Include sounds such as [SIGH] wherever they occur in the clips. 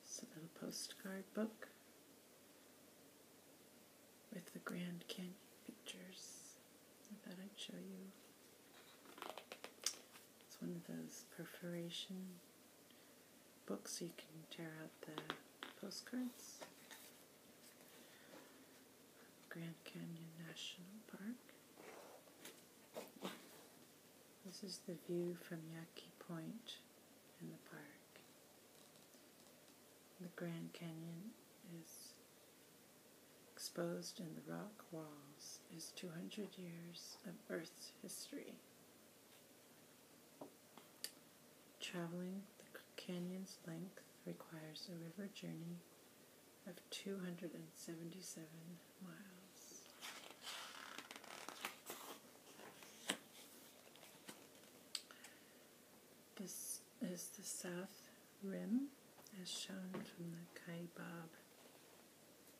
This little postcard book with the Grand Canyon pictures. I thought I'd show you. It's one of those perforation books you can tear out the postcards. Grand Canyon National Park. This is the view from Yaqui Point in the park. The Grand Canyon is exposed in the rock walls is 200 years of Earth's history. Traveling the canyon's length requires a river journey of 277 miles. This is the south rim as shown from the Kaibab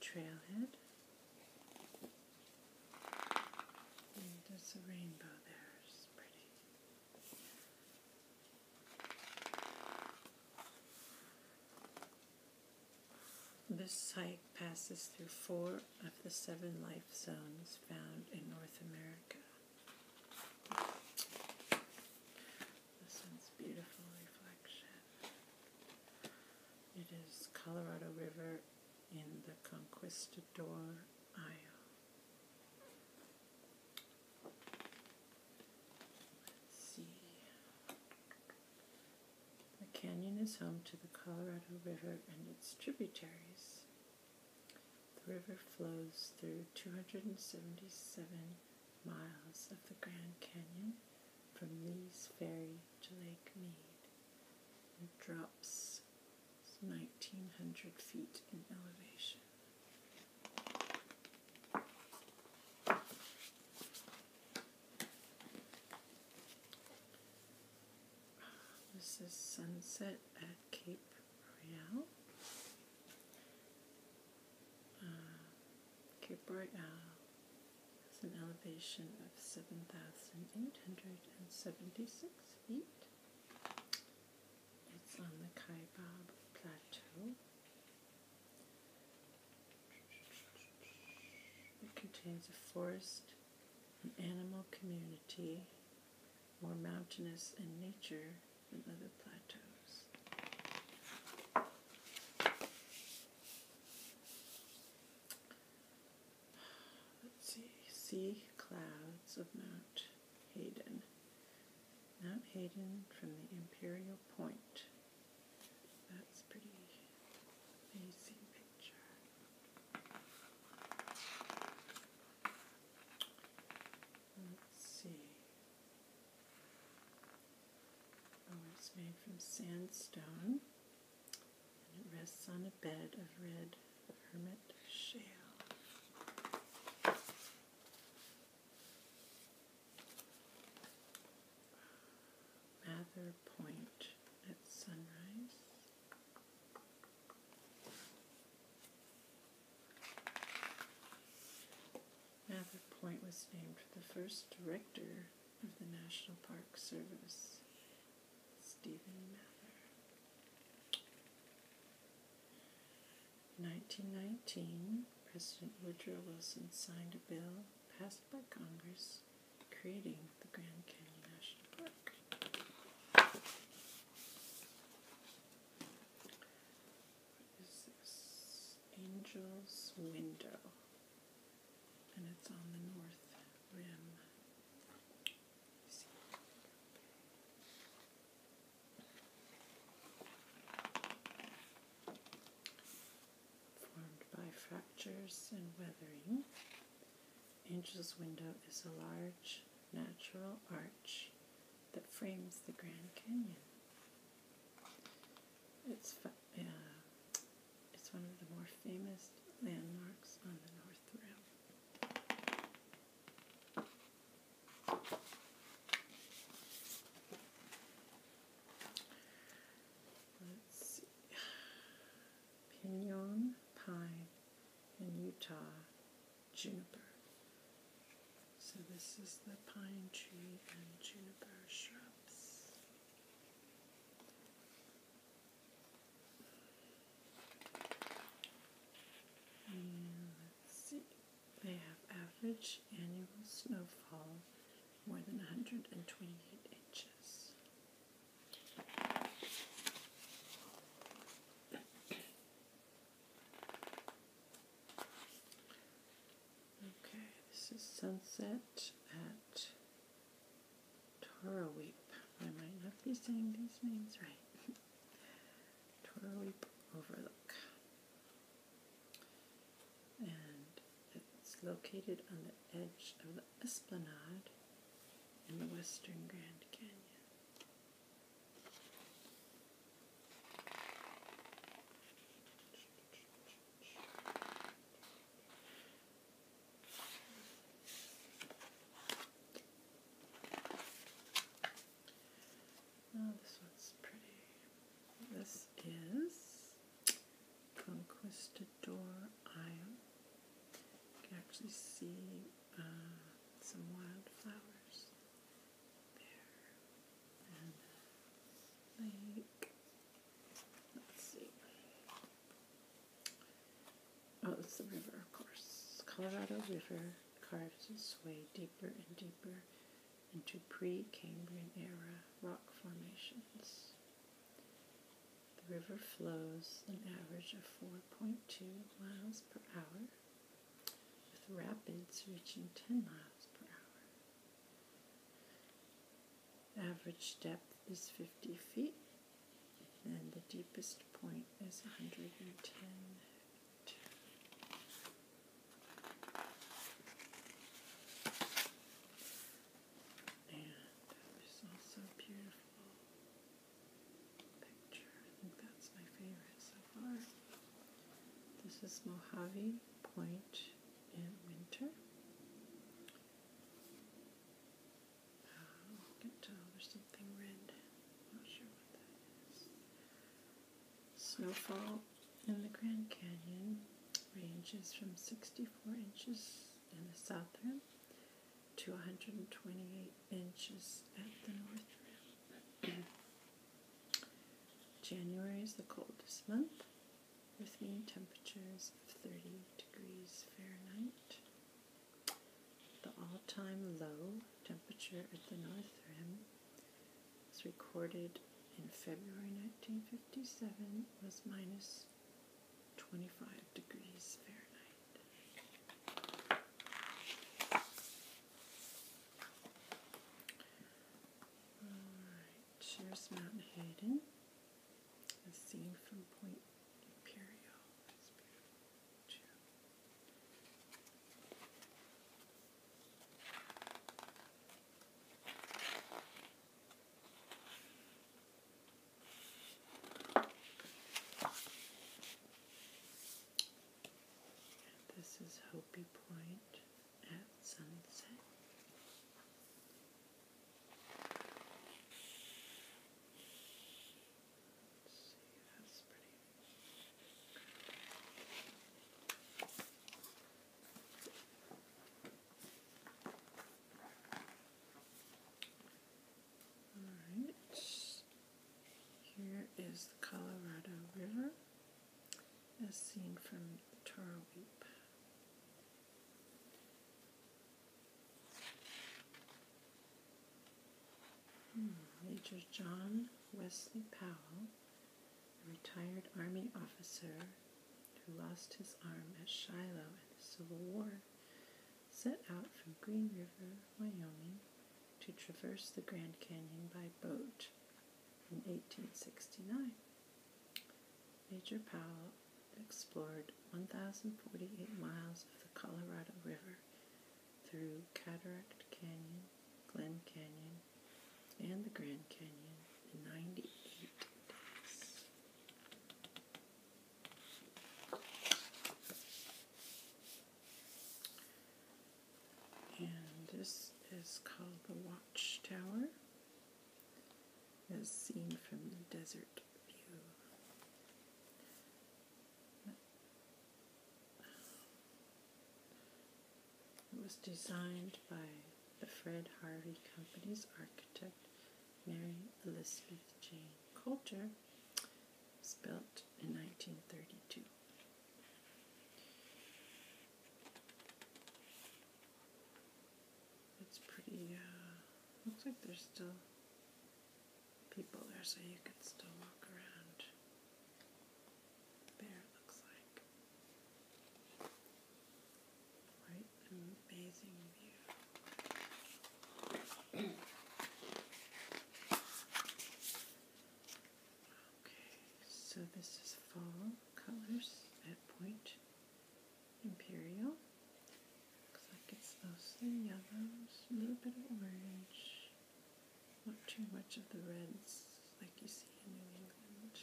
trailhead. there's a rainbow there, it's pretty. This hike passes through four of the seven life zones found in North America. This one's beautiful reflection. It is Colorado River in the Conquistador Isle. The canyon is home to the Colorado River and its tributaries. The river flows through 277 miles of the Grand Canyon from Lee's Ferry to Lake Mead. and drops 1900 feet in elevation. This is sunset at Cape Royale. Uh, Cape Royale has an elevation of 7,876 feet. It's on the Kaibab Plateau. It contains a forest, an animal community, more mountainous in nature than other plateaus. Let's see, sea clouds of Mount Hayden. Mount Hayden from the Imperial Point. That's pretty amazing picture. Let's see. Oh, it's made from sandstone and it rests on a bed of red hermit shale. Mather Point at sunrise. Mather Point was named for the first director of the National Park Service, Stephen Mather. In 1919, President Woodrow Wilson signed a bill passed by Congress creating the Grand Canyon National Park. What is this? Angel's Window. And it's on the north rim. Formed by fractures and weathering, Angel's Window is a large natural arch that frames the Grand Canyon. It's, uh, it's one of the more famous landmarks on the North Rim. Let's see. Pinion, pine, and Utah juniper. So this is the pine tree and juniper shrubs. And let's see. They have average annual snowfall more than 128 inches. Okay, this is sunset at Toroweep. I might not be saying these names right. [LAUGHS] Toroweep Overlook and it's located on the edge of the esplanade in the western Grand Canyon. Oh, this one's pretty. This is Conquistador Isle. You can actually see uh, some wildflowers there. And lake. Let's see. Oh, it's the river, of course. Colorado River carves its way deeper and deeper into pre Cambrian era rock formations. The river flows an average of 4.2 miles per hour, with rapids reaching 10 miles per hour. Average depth is 50 feet, and the deepest point is 110 and there's also a beautiful picture. I think that's my favorite so far. This is Mojave Point in winter. Uh, I can something red. not sure what that is. Snowfall in the Grand Canyon ranges from 64 inches in the south rim to 128 inches at the north rim. [CLEARS THROAT] January is the coldest month with mean temperatures of 30 degrees Fahrenheit. The all-time low temperature at the North Rim was recorded in February 1957 was minus 25 degrees Fahrenheit. Alright, here's Mount Hayden, as from Point Imperial. This is Hopi Point at sunset. see, that's pretty. Here is the Colorado River as seen from Tarweep. Hmm. Major John Wesley Powell a retired Army officer who lost his arm at Shiloh in the Civil War, set out from Green River, Wyoming, to traverse the Grand Canyon by boat in 1869. Major Powell explored 1,048 miles of the Colorado River through Cataract Canyon, Glen Canyon, and the Grand Canyon in 98 days. And this is called the Watchtower, as seen from the desert view. It was designed by the Fred Harvey Company's architect, Mary Elizabeth Jane Coulter. It's built in 1932. It's pretty, uh, looks like there's still people there so you can still walk around. Right, amazing view. okay, so this is fall colors at Point Imperial. Looks like it's mostly yellows, a little bit of orange. Not too much of the reds like you see in New England.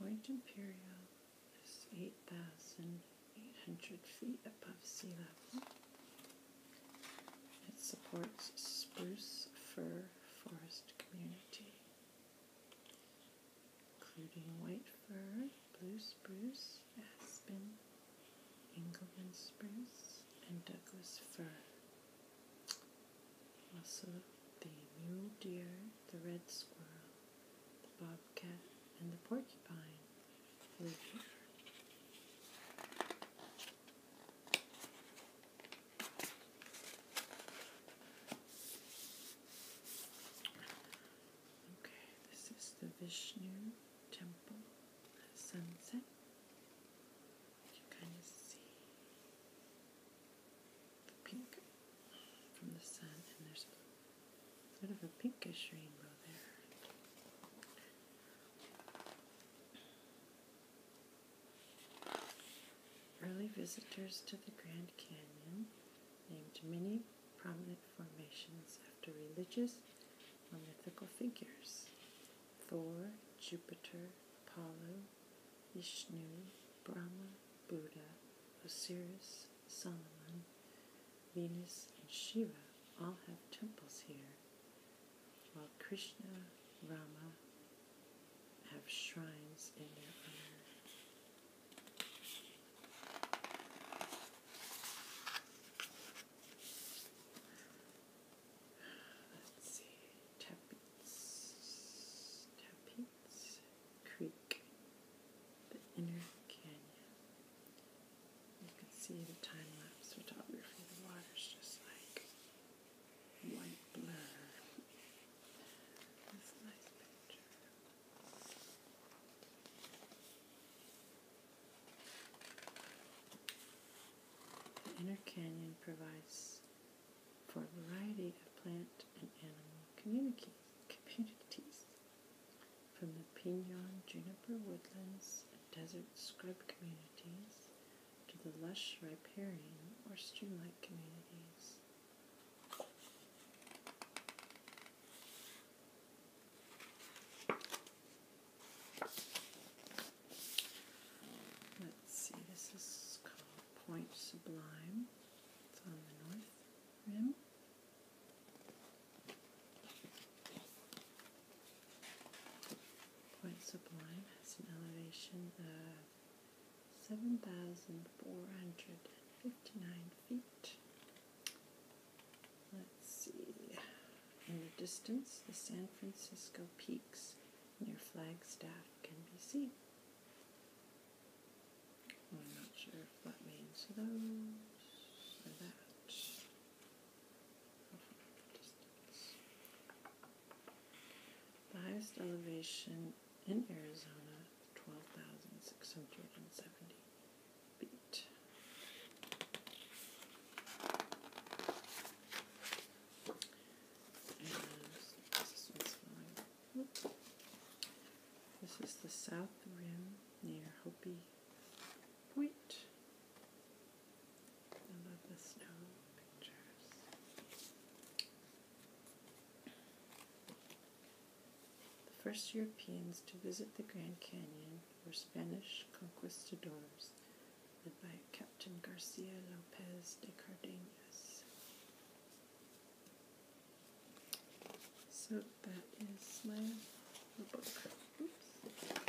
Point Imperial is 8,800 feet above sea level. It supports spruce fir forest community including white fir, blue spruce, aspen, England spruce, and Douglas fir. Also, the mule deer, the red squirrel, the bobcat, and the porcupine live here. Okay, this is the Vishnu temple at sunset. You kind of see the pink from the sun, and there's sort of a pinkish rainbow there. Early visitors to the Grand Canyon named many prominent formations after religious or mythical figures Thor, Jupiter, Apollo, Vishnu, Brahma, Buddha, Osiris, Solomon, Venus, and Shiva all have temples here, while Krishna, Rama have shrines in their honor. Let's Creek, the inner canyon. You can see the time lapse photography. The water's just like white blur. This nice picture. The inner canyon provides for a variety of plant and animal communities from the pinon juniper woodlands and desert scrub communities to the lush riparian or streamlike communities. Let's see, this is called Point Sublime. It's on the north rim. Point Sublime has an elevation of 7,459 feet. Let's see. In the distance, the San Francisco peaks near Flagstaff can be seen. I'm not sure if means those or that. The highest elevation in Arizona, 12,670 feet. this This is the south rim near Hopi Point. I love the snow pictures. The first Europeans to visit the Grand Canyon were Spanish conquistadors led by Captain Garcia Lopez de Cardenas. So that is my book. Oops.